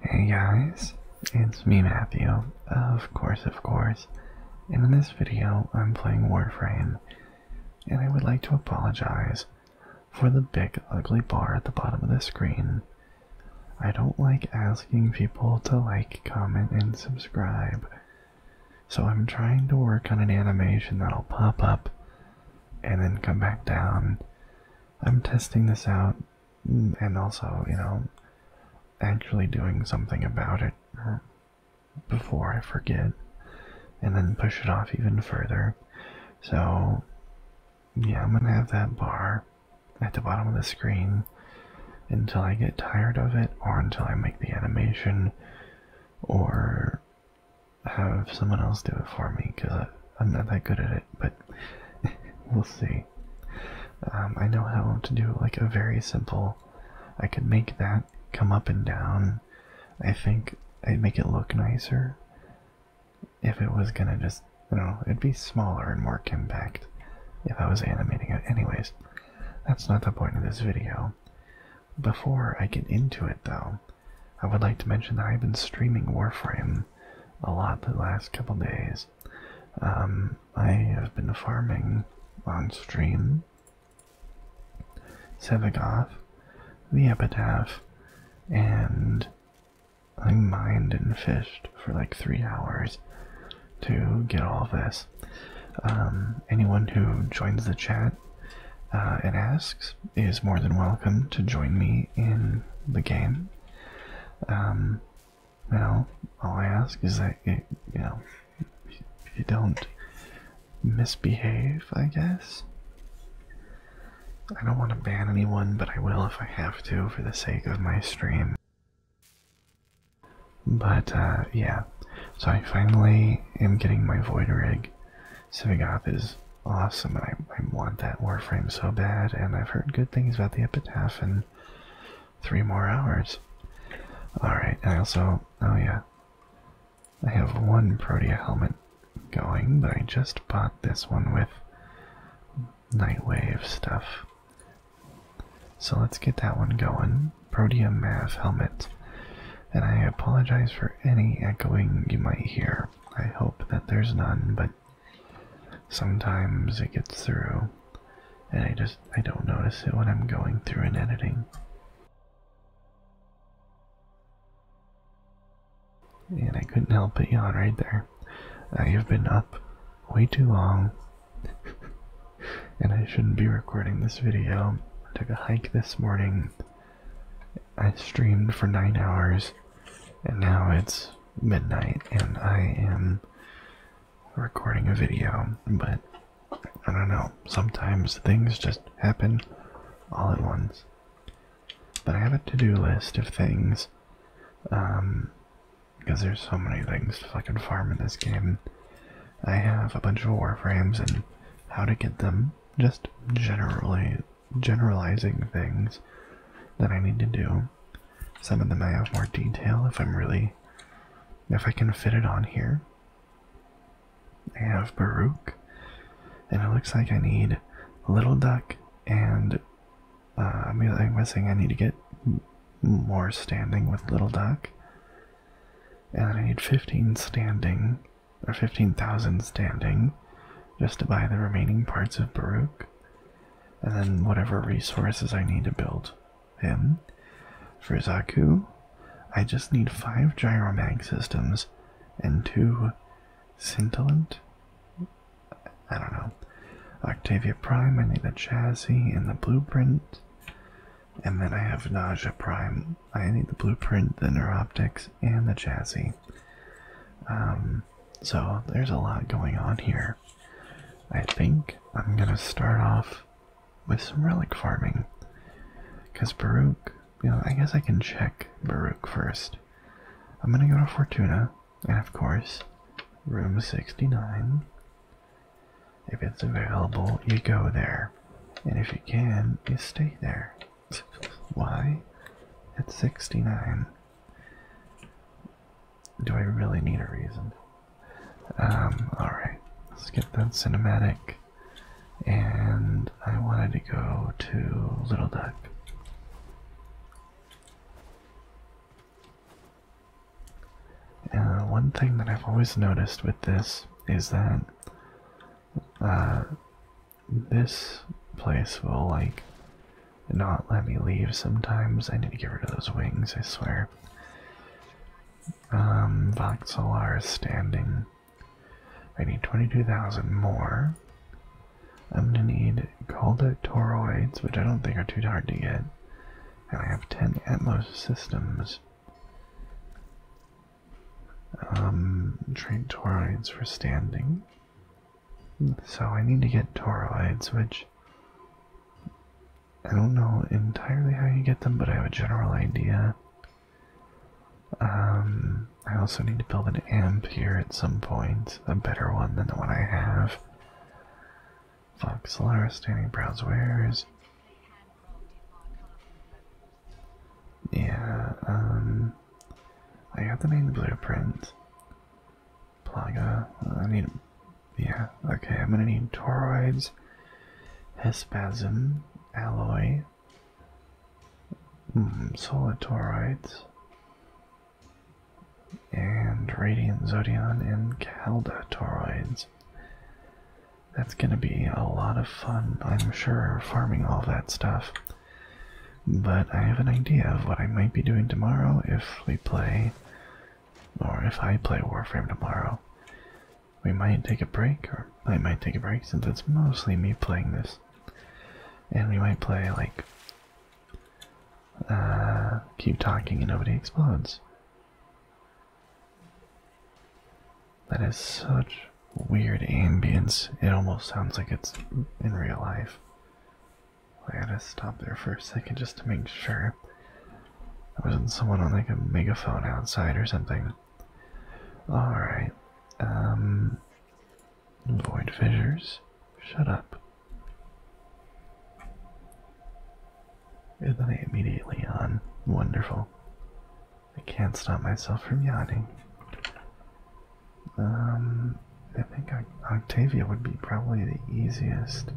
Hey guys, it's me Matthew, of course of course, and in this video I'm playing Warframe, and I would like to apologize for the big ugly bar at the bottom of the screen. I don't like asking people to like, comment, and subscribe, so I'm trying to work on an animation that'll pop up and then come back down I'm testing this out mm, and also, you know, actually doing something about it before I forget and then push it off even further. So, yeah, I'm gonna have that bar at the bottom of the screen until I get tired of it or until I make the animation or have someone else do it for me because I'm not that good at it, but we'll see. Um, I know how to do like a very simple, I could make that come up and down. I think I'd make it look nicer if it was gonna just, you know, it'd be smaller and more compact if I was animating it. Anyways, that's not the point of this video. Before I get into it though, I would like to mention that I've been streaming Warframe a lot the last couple days. Um, I have been farming on stream Sevagoth, the Epitaph, and I mined and fished for like three hours to get all this. Um, anyone who joins the chat it uh, asks is more than welcome to join me in the game. you um, know, all I ask is that you, you know you don't misbehave. I guess I don't want to ban anyone, but I will if I have to for the sake of my stream. But uh, yeah, so I finally am getting my void rig. Sivagoth is awesome, and I, I want that Warframe so bad, and I've heard good things about the Epitaph in three more hours. Alright, I also, oh yeah, I have one Protea helmet going, but I just bought this one with Nightwave stuff. So let's get that one going. Protea Mav helmet. And I apologize for any echoing you might hear. I hope that there's none, but sometimes it gets through and I just I don't notice it when I'm going through and editing. And I couldn't help but yawn right there. I have been up way too long. and I shouldn't be recording this video. I took a hike this morning I streamed for nine hours, and now it's midnight, and I am recording a video, but I don't know. Sometimes things just happen all at once. But I have a to-do list of things, um, because there's so many things to fucking farm in this game. I have a bunch of warframes and how to get them, just generally generalizing things that I need to do. Some of them I have more detail if I'm really, if I can fit it on here. I have Baruch, and it looks like I need Little Duck, and uh, I'm guessing I need to get more standing with Little Duck. And I need 15 standing or 15,000 standing just to buy the remaining parts of Baruch, and then whatever resources I need to build him. For Zaku, I just need five gyromag systems and two scintillant. I don't know. Octavia Prime, I need the chassis and the blueprint. And then I have Nausea Prime. I need the blueprint, the neuroptics, and the chassis. Um, so there's a lot going on here. I think I'm gonna start off with some relic farming. Because Baruch, you know, I guess I can check Baruch first. I'm gonna go to Fortuna, and of course, room 69. If it's available, you go there. And if you can, you stay there. Why? It's 69. Do I really need a reason? Um, alright. Let's get that cinematic. And I wanted to go to Little Duck. Uh, one thing that I've always noticed with this is that uh, this place will like not let me leave sometimes. I need to get rid of those wings, I swear. Um, Voxelar is standing. I need 22,000 more. I'm gonna need Golda Toroids, which I don't think are too hard to get. And I have 10 Atmos systems. Train um, toroids for standing. So I need to get toroids, which I don't know entirely how you get them, but I have a general idea. Um, I also need to build an amp here at some point, a better one than the one I have. Fox Standing Browse Wares. Yeah, um, I have the main blueprint. Plaga. Uh, I need. Yeah. Okay. I'm gonna need toroids, hespasm, alloy. Hmm, solid toroids. And radiant zodion and calda toroids. That's gonna be a lot of fun, I'm sure, farming all that stuff. But I have an idea of what I might be doing tomorrow if we play, or if I play Warframe tomorrow. We might take a break, or I might take a break since it's mostly me playing this. And we might play like uh, keep talking and nobody explodes. That is such weird ambience. It almost sounds like it's in real life. I gotta stop there for a second just to make sure. There wasn't someone on like a megaphone outside or something. Alright. Um. Void fissures. Shut up. And then I immediately on. Wonderful. I can't stop myself from yawning. Um, I think Octavia would be probably the easiest.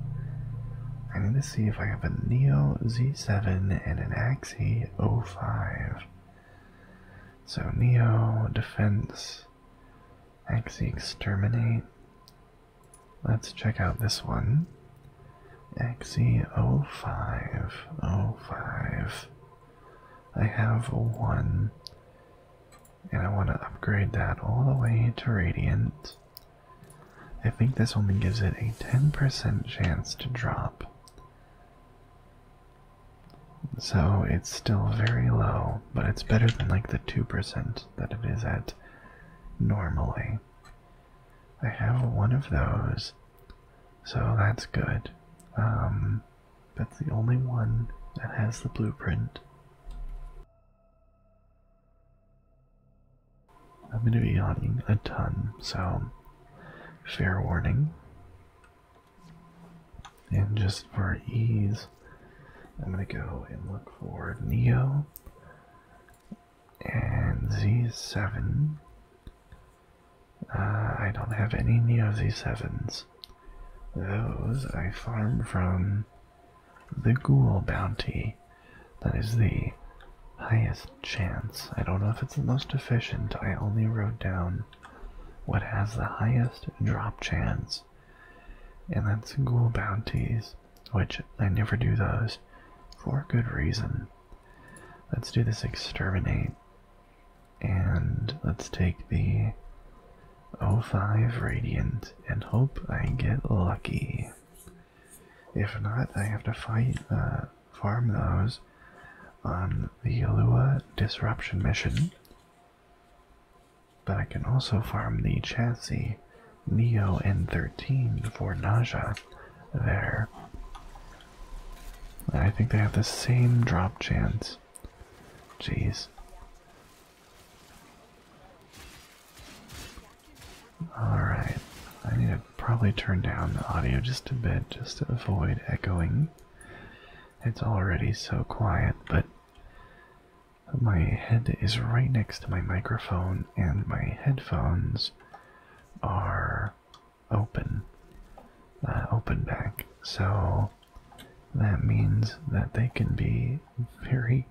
I need to see if I have a Neo Z7 and an Axie 05. So Neo Defense, Axie Exterminate. Let's check out this one. Axie 05, 05. I have a 1, and I want to upgrade that all the way to Radiant. I think this only gives it a 10% chance to drop. So it's still very low, but it's better than like the 2% that it is at normally. I have one of those, so that's good. Um, that's the only one that has the blueprint. I'm going to be yawning a ton, so fair warning. And just for ease, I'm going to go and look for Neo and Z7 uh, I don't have any Neo Z7s. Those I farm from the Ghoul Bounty. That is the highest chance. I don't know if it's the most efficient. I only wrote down what has the highest drop chance. And that's Ghoul Bounties, which I never do those for good reason. Let's do this exterminate. And let's take the 05 Radiant and hope I get lucky. If not, I have to fight, uh, farm those on the Alua Disruption mission. But I can also farm the chassis Neo N13 for Naja there. I think they have the same drop chance. Jeez. Alright, I need to probably turn down the audio just a bit just to avoid echoing. It's already so quiet, but my head is right next to my microphone, and my headphones are open, uh, open back. So that means that they can be very,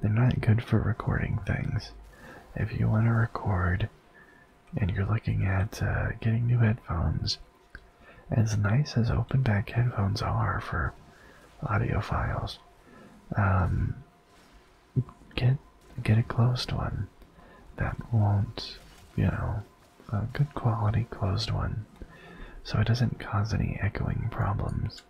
they're not good for recording things. If you want to record and you're looking at uh, getting new headphones, as nice as open back headphones are for audio files, um, get get a closed one that won't, you know, a good quality closed one, so it doesn't cause any echoing problems.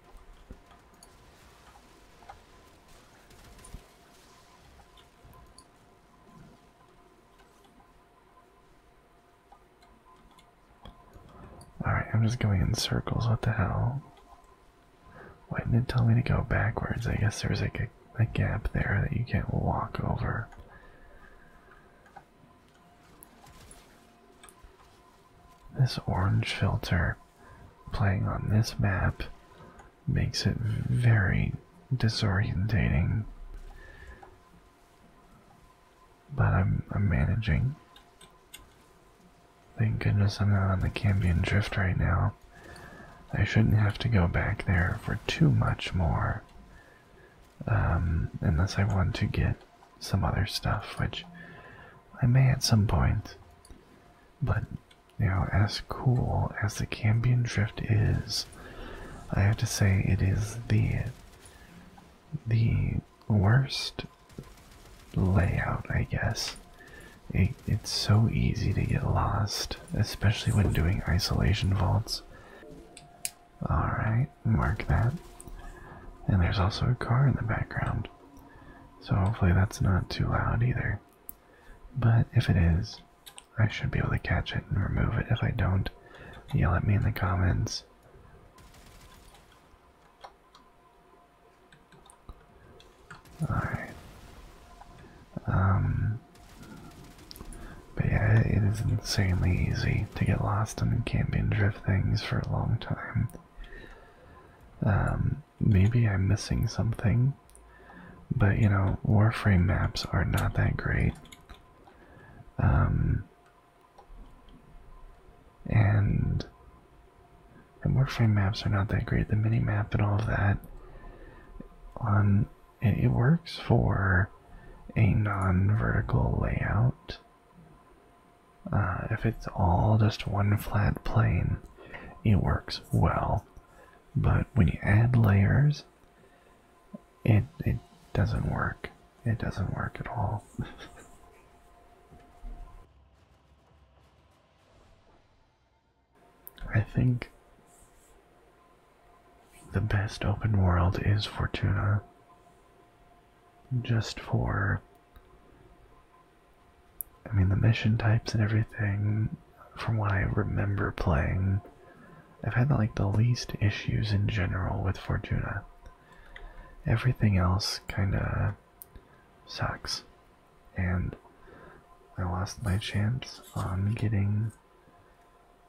Alright, I'm just going in circles, what the hell? Why didn't it tell me to go backwards? I guess there's like a like a gap there that you can't walk over. This orange filter playing on this map makes it very disorientating. But I'm, I'm managing. Thank goodness I'm not on the Cambian Drift right now. I shouldn't have to go back there for too much more. Um, unless I want to get some other stuff, which I may at some point. But, you know, as cool as the Cambion Drift is, I have to say it is the, the worst layout, I guess. it's so easy to get lost especially when doing isolation vaults. Alright, mark that. And there's also a car in the background. So hopefully that's not too loud either. But if it is, I should be able to catch it and remove it. If I don't, yell at me in the comments. Alright. Um but yeah, it is insanely easy to get lost in camping drift things for a long time. Um, maybe I'm missing something, but you know, Warframe maps are not that great. Um, and, and Warframe maps are not that great. The mini map and all of that on it works for a non-vertical layout. Uh, if it's all just one flat plane, it works well. But when you add layers, it, it doesn't work. It doesn't work at all. I think the best open world is Fortuna. Just for. I mean, the mission types and everything, from what I remember playing, I've had like the least issues in general with Fortuna. Everything else kinda sucks. And I lost my chance on getting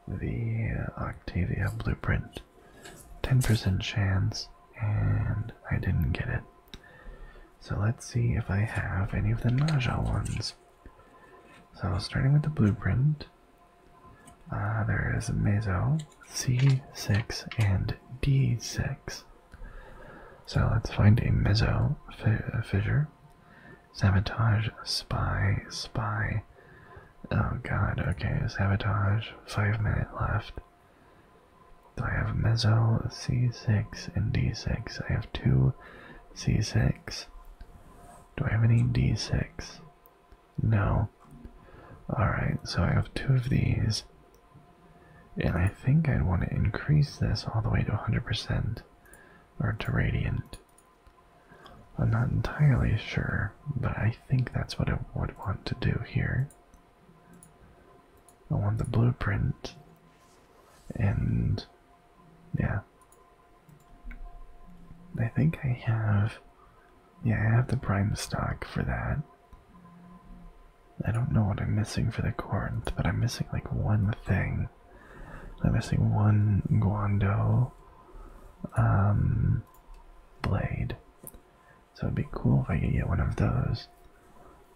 the Octavia blueprint. 10% chance, and I didn't get it. So let's see if I have any of the nausea ones. So starting with the blueprint, uh, there is meso, C6, and D6. So let's find a meso fissure Sabotage, spy, spy. Oh god, okay, sabotage. Five minute left. So I have mezzo, c6, and d6. I have two c6. Do I have any d6? No. Alright, so I have two of these. And I think I'd want to increase this all the way to 100%, or to radiant. I'm not entirely sure, but I think that's what I would want to do here. I want the blueprint, and yeah. I think I have, yeah, I have the prime stock for that. I don't know what I'm missing for the Corinth, but I'm missing like one thing. I'm missing one Guando um, blade. So it'd be cool if I could get one of those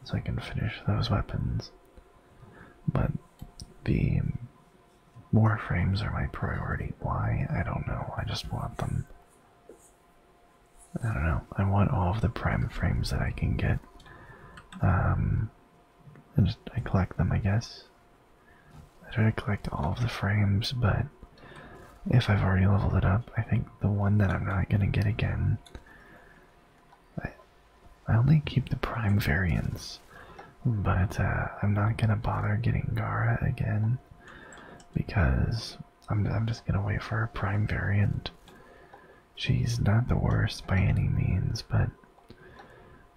so I can finish those weapons. But the more frames are my priority. Why? I don't know. I just want them. I don't know. I want all of the prime frames that I can get. Um, I just I collect them, I guess. I try to collect all of the frames, but if I've already leveled it up, I think the one that I'm not gonna get again. I, I only keep the prime variants, but uh, I'm not gonna bother getting Gara again because I'm I'm just gonna wait for a prime variant She's not the worst by any means, but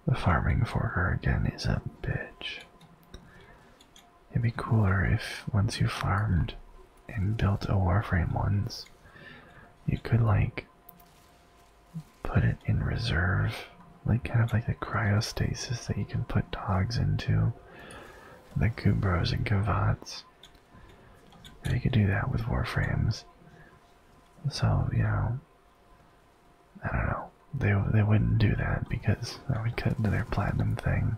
the farming for her again is a bitch. It'd be cooler if once you farmed and built a Warframe once, you could like put it in reserve, like kind of like the cryostasis that you can put dogs into, the Kubros and Kavats. You could do that with Warframes. So, you know, I don't know. They they wouldn't do that because that would cut into their platinum thing.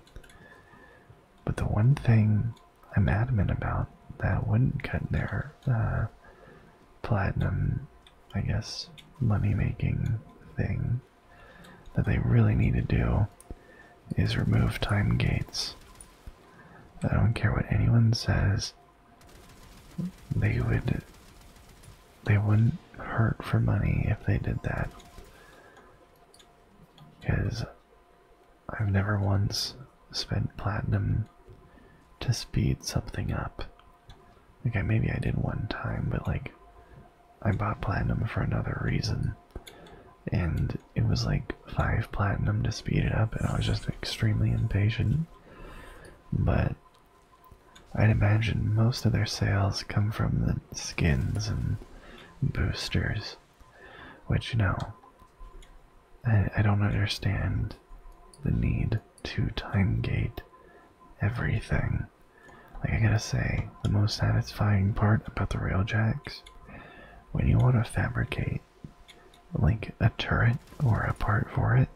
But the one thing I'm adamant about that wouldn't cut their uh, platinum, I guess, money making thing that they really need to do is remove time gates. I don't care what anyone says. They would they wouldn't hurt for money if they did that. Cause I've never once spent platinum to speed something up. Okay, maybe I did one time, but like I bought platinum for another reason. And it was like five platinum to speed it up, and I was just extremely impatient but I'd imagine most of their sales come from the skins and boosters, which, you know, I, I don't understand the need to timegate everything. Like, I gotta say, the most satisfying part about the Railjacks, when you want to fabricate like a turret or a part for it.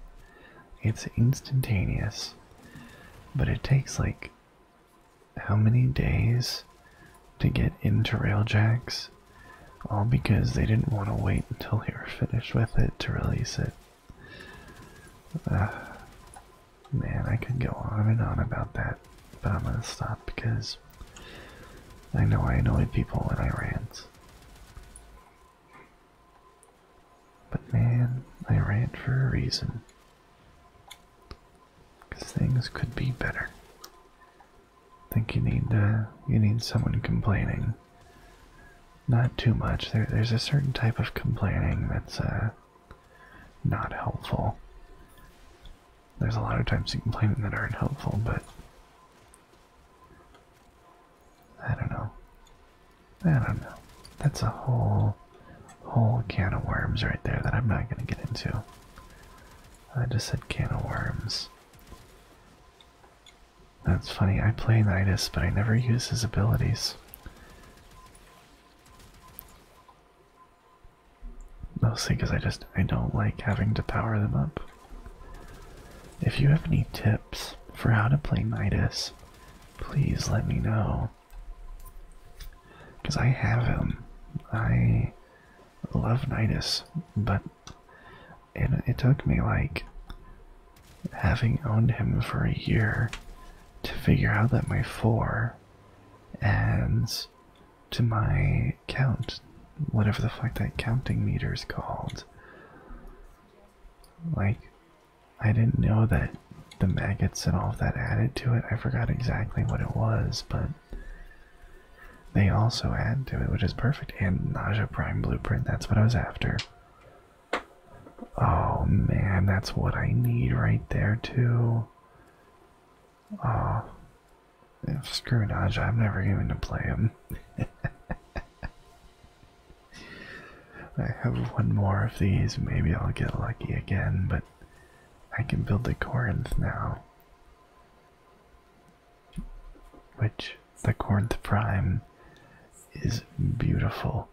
It's instantaneous, but it takes like how many days to get into Railjax? All because they didn't want to wait until they were finished with it to release it. man, I could go on and on about that, but I'm gonna stop because I know I annoy people when I rant. But man, I ran for a reason. things could be better. I think you need to, you need someone complaining. Not too much. there's a certain type of complaining that's uh, not helpful. There's a lot of times you complain that aren't helpful, but I don't know. I don't know. That's a whole whole can of worms right there that I'm not going to get into. I just said can of worms. That's funny. I play Nidus, but I never use his abilities. Mostly because I just I don't like having to power them up. If you have any tips for how to play Midas, please let me know. Because I have him. I love Midas, but it, it took me like having owned him for a year to figure out that my four adds to my count whatever the fuck that counting meter is called. Like, I didn't know that the maggots and all of that added to it. I forgot exactly what it was, but they also add to it, which is perfect. And Naja Prime Blueprint, that's what I was after. Oh man, that's what I need right there, too. Oh, yeah, screw Dodge, I'm never going to play him. I have one more of these, maybe I'll get lucky again, but I can build the Corinth now. Which, the Corinth Prime is beautiful.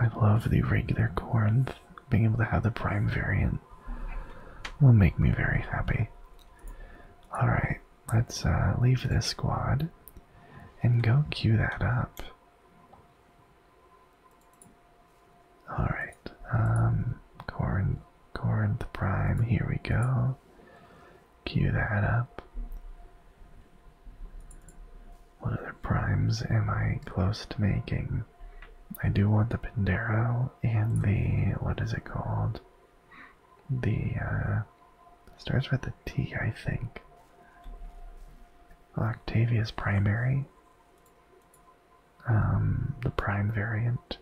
I love the regular Corinth, being able to have the Prime variant will make me very happy. Alright, let's uh, leave this squad and go cue that up. Alright, Corinth, um, Corinth Prime, here we go. Cue that up. What other primes am I close to making? I do want the Pandero and the, what is it called? the uh, starts with the T, I think. Octavia's primary, um, the prime variant.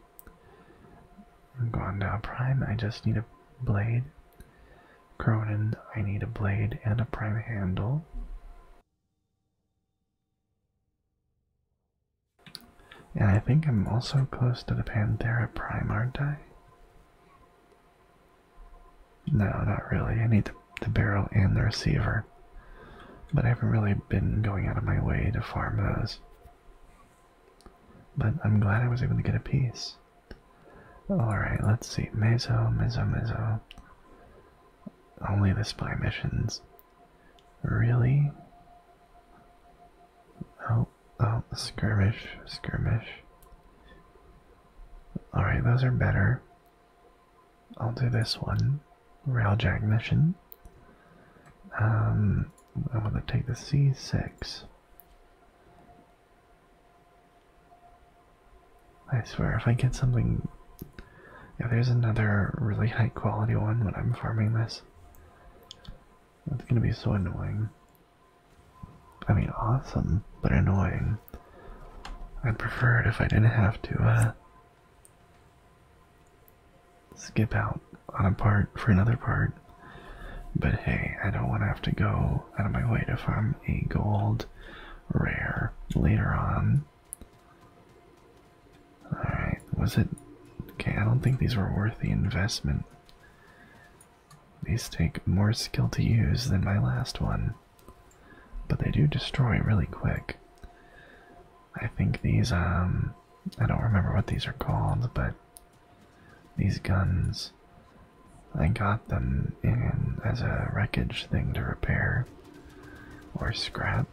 I'm going down prime. I just need a blade. Cronin, I need a blade and a prime handle. And I think I'm also close to the Panthera Prime, aren't I? No, not really. I need the, barrel and the receiver. But I haven't really been going out of my way to farm those. But I'm glad I was able to get a piece. Alright, let's see. Mezzo, Mezzo, Mezzo. Only the spy missions. Really? Oh, oh, skirmish, skirmish. Alright, those are better. I'll do this one. Railjack mission. Um, I going to take the C6. I swear, if I get something... Yeah, there's another really high quality one when I'm farming this. That's gonna be so annoying. I mean, awesome, but annoying. I'd prefer it if I didn't have to uh, skip out on a part for another part. But hey, I don't want to have to go out of my way to farm a gold rare later on. Alright, was it. Okay, I don't think these were worth the investment. These take more skill to use than my last one, but they do destroy really quick. I think these, um. I don't remember what these are called, but these guns. I got them in as a wreckage thing to repair or scrap,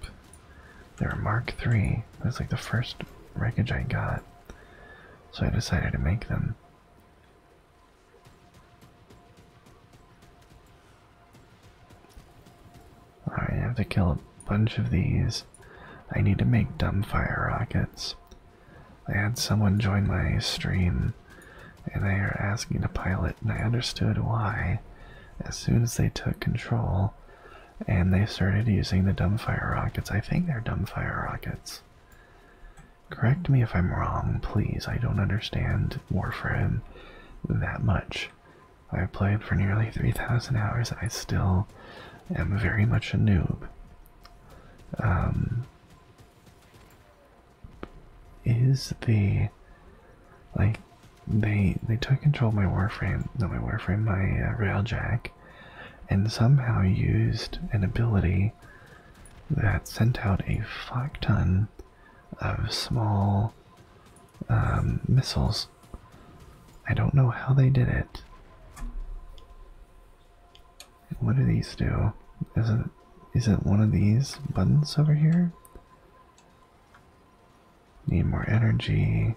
they were Mark III. That's like the first wreckage I got. So I decided to make them. Alright, I have to kill a bunch of these. I need to make dumb fire rockets. I had someone join my stream and they are asking to pilot, and I understood why as soon as they took control and they started using the dumbfire rockets. I think they're dumbfire rockets. Correct me if I'm wrong, please. I don't understand Warframe that much. I've played for nearly 3,000 hours. I still am very much a noob. Um, is the like they they took control of my Warframe, no, my Warframe, my uh, Railjack and somehow used an ability that sent out a fuck of small um, missiles. I don't know how they did it. What do these do? Is it is it one of these buttons over here? Need more energy.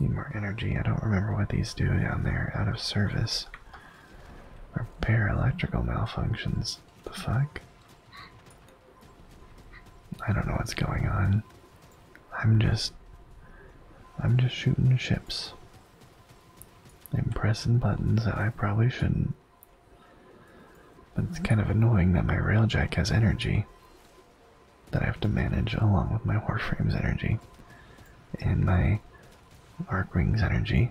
Need more energy. I don't remember what these do down there. Out of service. Repair electrical malfunctions. The fuck? I don't know what's going on. I'm just. I'm just shooting ships. I'm pressing buttons that I probably shouldn't. But it's kind of annoying that my railjack has energy that I have to manage along with my Warframe's energy and my Arc Ring's energy.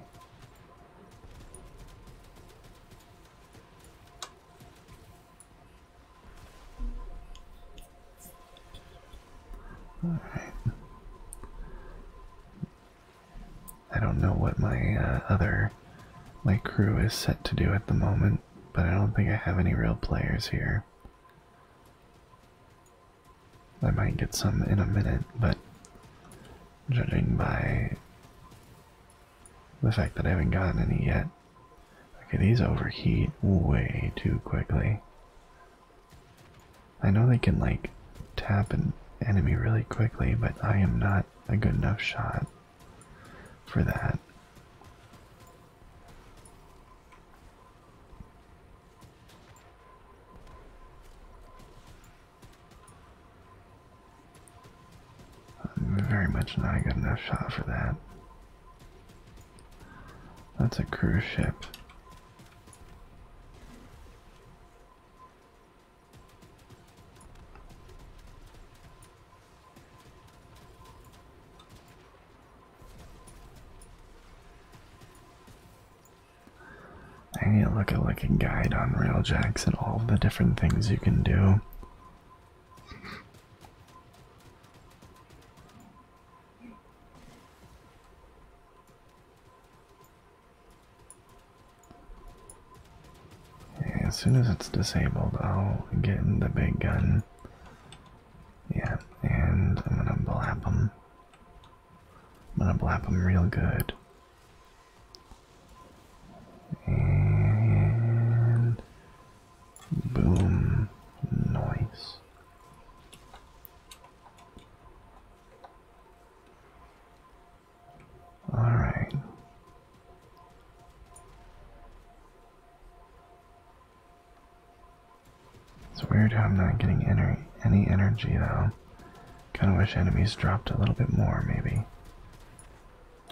I don't know what my uh, other my crew is set to do at the moment, but I don't think I have any real players here. I might get some in a minute, but judging by the fact that I haven't gotten any yet, okay, these overheat way too quickly. I know they can like tap an enemy really quickly, but I am not a good enough shot for that. Very much not a good enough shot for that. That's a cruise ship. I need to look at like a guide on railjacks and all the different things you can do. as soon as it's disabled, I'll get in the big gun yeah, and I'm gonna blap them. I'm gonna blap them real good. And boom, noise. All right. It's weird how I'm not getting any, energy though. Kinda wish enemies dropped a little bit more, maybe.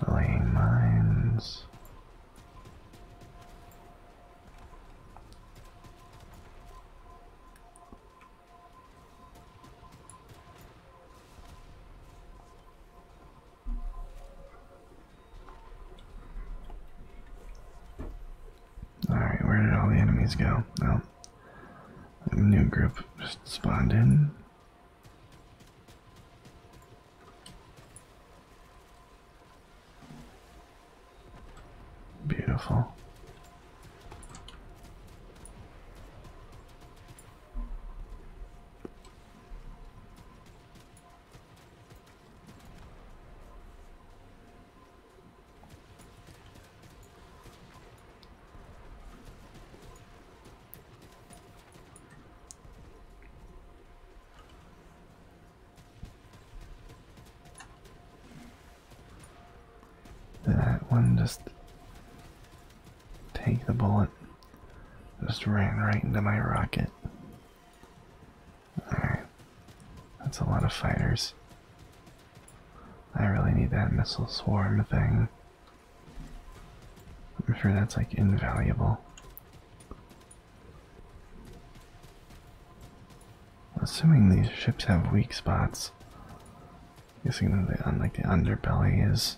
Laying mines. Alright, where did all the enemies go? Well, a new group just spawned in. Beautiful. That one just take the bullet. Just ran right into my rocket. Alright. That's a lot of fighters. I really need that missile swarm thing. I'm sure that's like invaluable. Assuming these ships have weak spots, guessing that the, like the underbelly is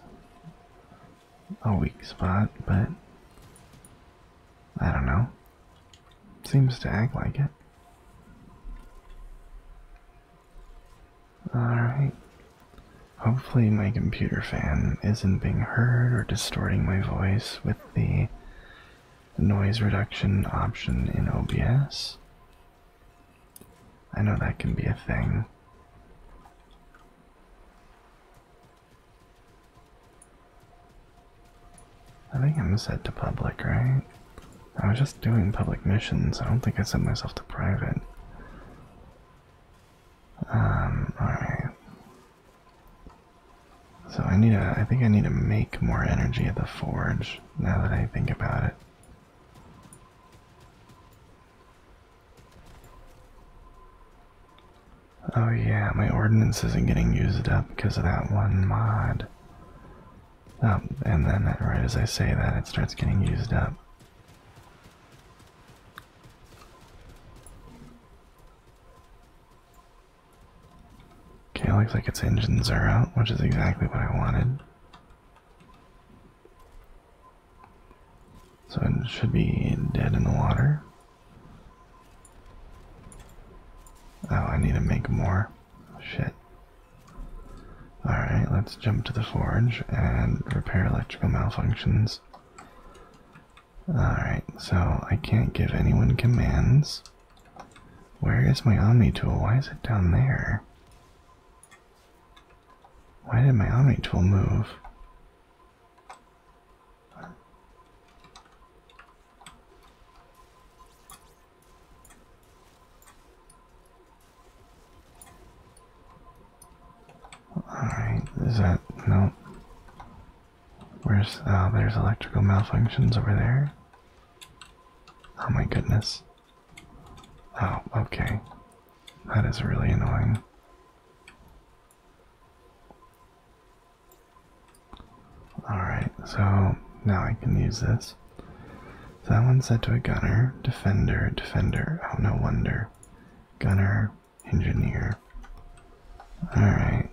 a weak spot, but I don't know. Seems to act like it. Alright. Hopefully, my computer fan isn't being heard or distorting my voice with the noise reduction option in OBS. I know that can be a thing. I think I'm set to public, right? I was just doing public missions. I don't think I set myself to private. Um, alright. So I need to, I think I need to make more energy at the forge now that I think about it. Oh yeah, my ordinance isn't getting used up because of that one mod. Oh, and then right as I say that, it starts getting used up. Okay, looks like its engines are out, which is exactly what I wanted. So it should be dead in the water. Oh, I need to make more. Shit. Alright, let's jump to the forge and repair electrical malfunctions. Alright, so I can't give anyone commands. Where is my Omni tool? Why is it down there? Why did my Omni tool move? Alright, is that, no. Where's, uh, there's electrical malfunctions over there. Oh my goodness. Oh, okay. That is really annoying. Alright, so now I can use this. So that one said to a gunner, defender, defender. Oh, no wonder. Gunner, engineer. Alright.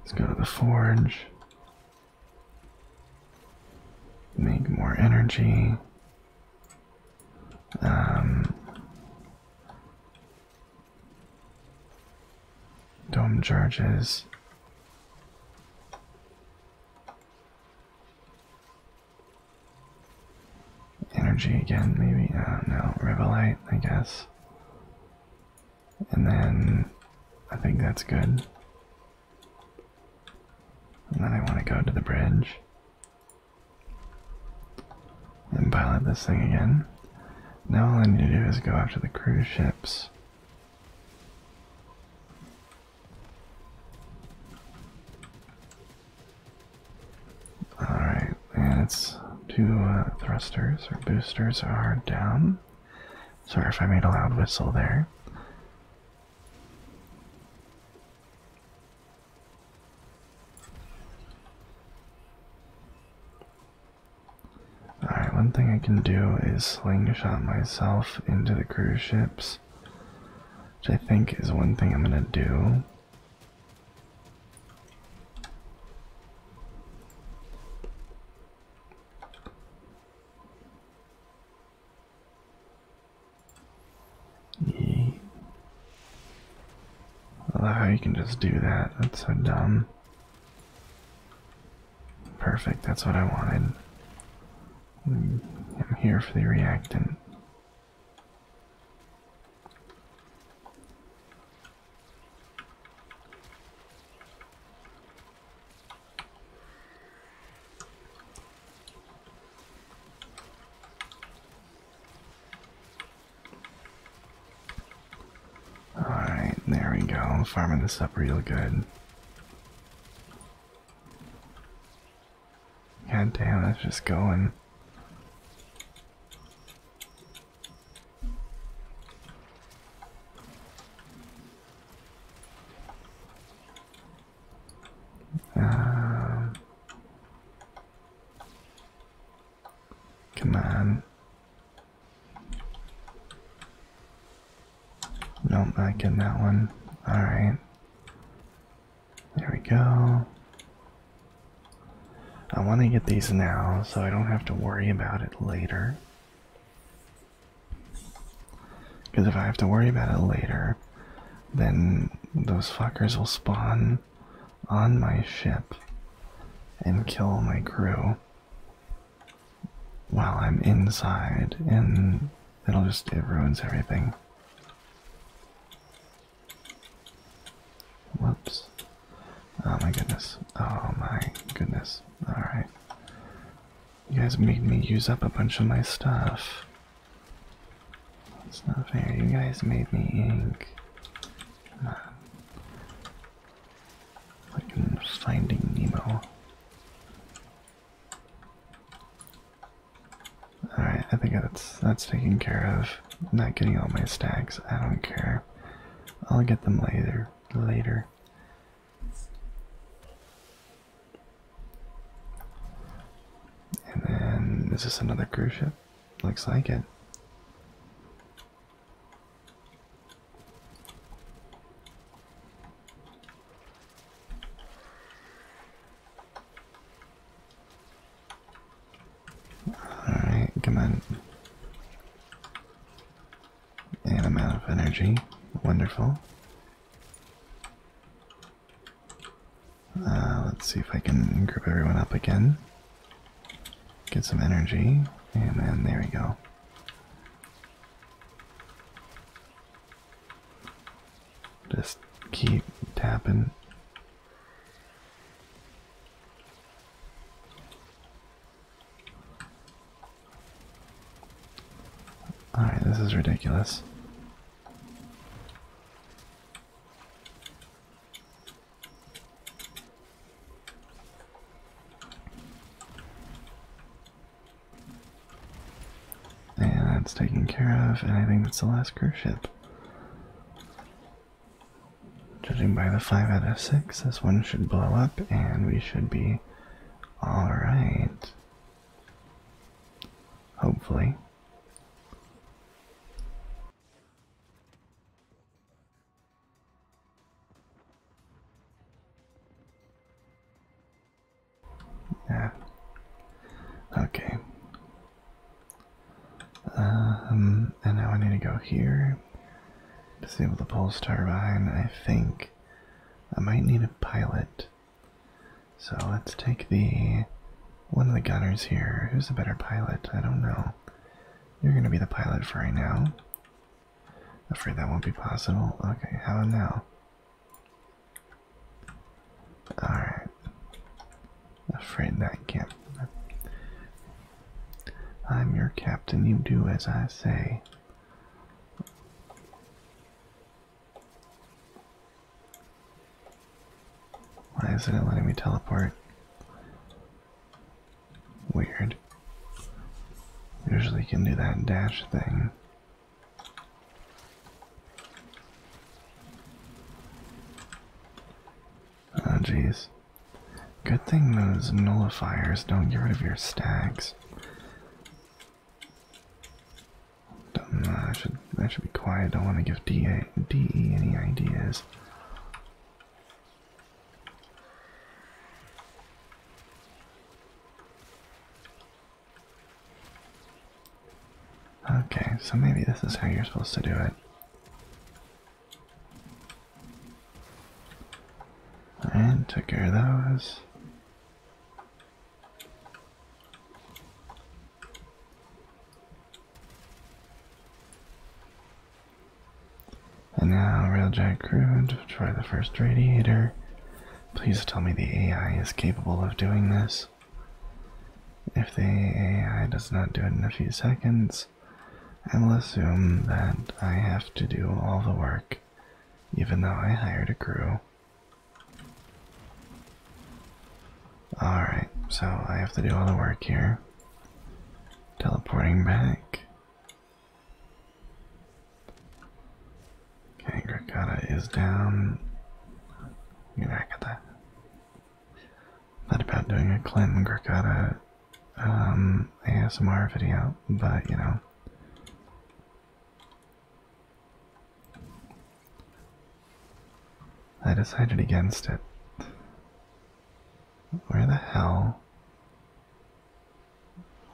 Let's go to the forge. Make more energy. Um, dome charges. Energy again, maybe. Uh, no, Revelite, I guess. And then I think that's good. And then I want to go to the bridge and pilot this thing again. Now all I need to do is go after the cruise ships. Alright, and its two uh, thrusters or boosters are down. Sorry if I made a loud whistle there. Alright, one thing I can do is slingshot myself into the cruise ships, which I think is one thing I'm gonna do. Yeet. love how you can just do that. That's so dumb. Perfect, that's what I wanted. I'm here for the reactant. Alright, there we go. I'm farming this up real good. God damn, it's just going. Uh, come on. Nope, not getting that one. Alright. There we go. I want to get these now so I don't have to worry about it later. Because if I have to worry about it later, then those fuckers will spawn on my ship and kill my crew while I'm inside, and it'll just, it ruins everything. Whoops. Oh my goodness. Oh my goodness. Alright. You guys made me use up a bunch of my stuff. It's not fair. You guys made me ink. Come on. finding Nemo. Alright, I think that's that's taken care of. not getting all my stacks, I don't care. I'll get them later later. And then, is another cruise ship? Looks like it. Alright, come on. amount of energy. Wonderful. Uh, let's see if I can group everyone up again. Get some energy, and then there we go. Just keep tapping. Alright, this is ridiculous. And that's taken care of, and I think that's the last cruise ship. Judging by the 5 out of 6, this one should blow up and we should be alright. Hopefully. Yeah. Okay. Um, and now I need to go here. Disable the pulse turbine. I think I might need a pilot so let's take the one of the gunners here. Who's the better pilot? I don't know. You're going to be the pilot for right now. Afraid that won't be possible. Okay, how about now? Alright. Afraid that can't. I'm your captain, you do as I say. Why isn't it letting me teleport? Weird. Usually you can do that dash thing. Oh jeez. Good thing those nullifiers don't get rid of your stags. I should I should be quiet. Don't want to give DA, any ideas. Okay, so maybe this is how you're supposed to do it. And take care of those. And now, Railjack crew, to try the first radiator. Please tell me the AI is capable of doing this. If the AI does not do it in a few seconds, I will assume that I have to do all the work, even though I hired a crew. Alright, so I have to do all the work here. Teleporting back. Okay, Grakata is down. Grakata. Thought about doing a Clinton Grakata um, ASMR video, but you know, I decided against it. Where the hell?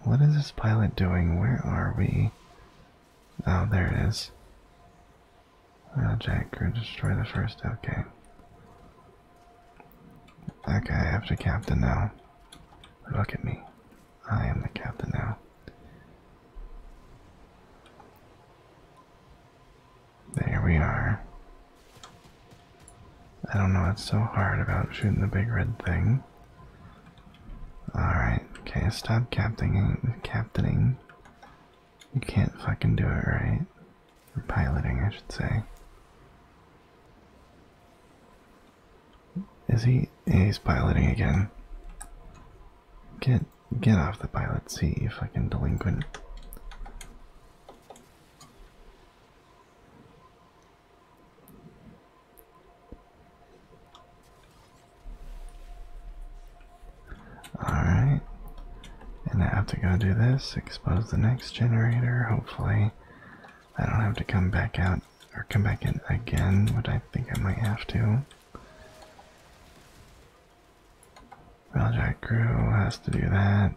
What is this pilot doing? Where are we? Oh, there it is. Oh, Jack crew destroy the first. Okay. Okay, I have to captain now. Look at me. I am the captain now. There we are. I don't know what's so hard about shooting the big red thing. Alright, okay, stop captaining. captaining. You can't fucking do it right. Or piloting, I should say. Is he? He's piloting again. Get get off the pilot see if I can delinquent. Alright. And I have to go do this, expose the next generator, hopefully. I don't have to come back out or come back in again, What I think I might have to. Railjack Crew has to do that.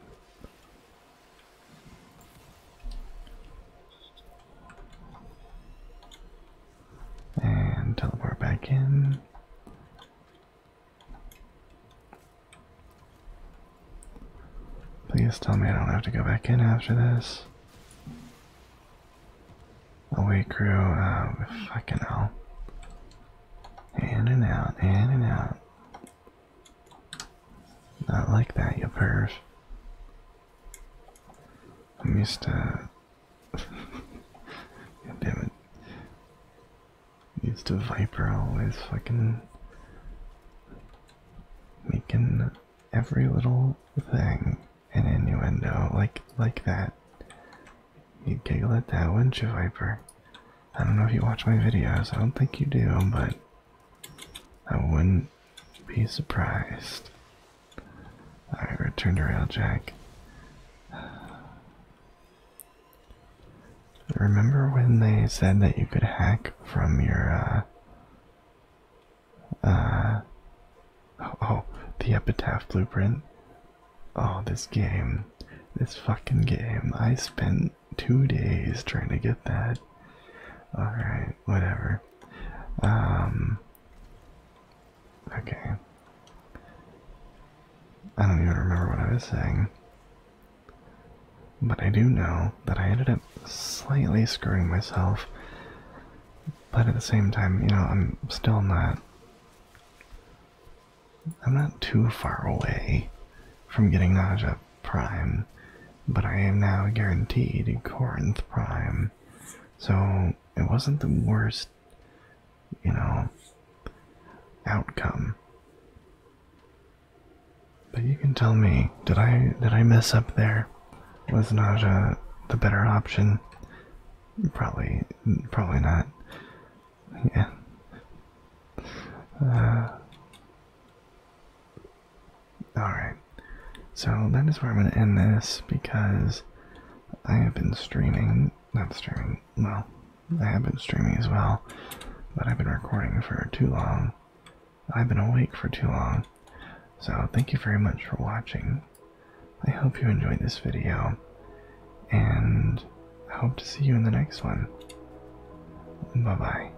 And teleport back in. Please tell me I don't have to go back in after this. Away crew, uh, fucking hell. In and out, in and out. Not like that, you perv. I missed, uh... damn it. Used to Viper always fucking... Making every little thing an innuendo like like that. You'd giggle at that, wouldn't you, Viper? I don't know if you watch my videos. I don't think you do, but I wouldn't be surprised. Alright, return to Railjack. Remember when they said that you could hack from your uh, uh, oh, the Epitaph Blueprint. Oh, this game. This fucking game. I spent two days trying to get that. Alright, whatever. Um. Okay. I don't even remember what I was saying. But I do know that I ended up slightly screwing myself but at the same time, you know, I'm still not. I'm not too far away from getting Naja Prime, but I am now guaranteed Corinth Prime. So it wasn't the worst, you know, outcome. But you can tell me, did I did I mess up there? was not uh, the better option. Probably, probably not. Yeah. Uh, Alright, so that is where I'm going to end this because I have been streaming, not streaming, well, I have been streaming as well, but I've been recording for too long, I've been awake for too long. So thank you very much for watching. I hope you enjoyed this video, and I hope to see you in the next one. Bye bye.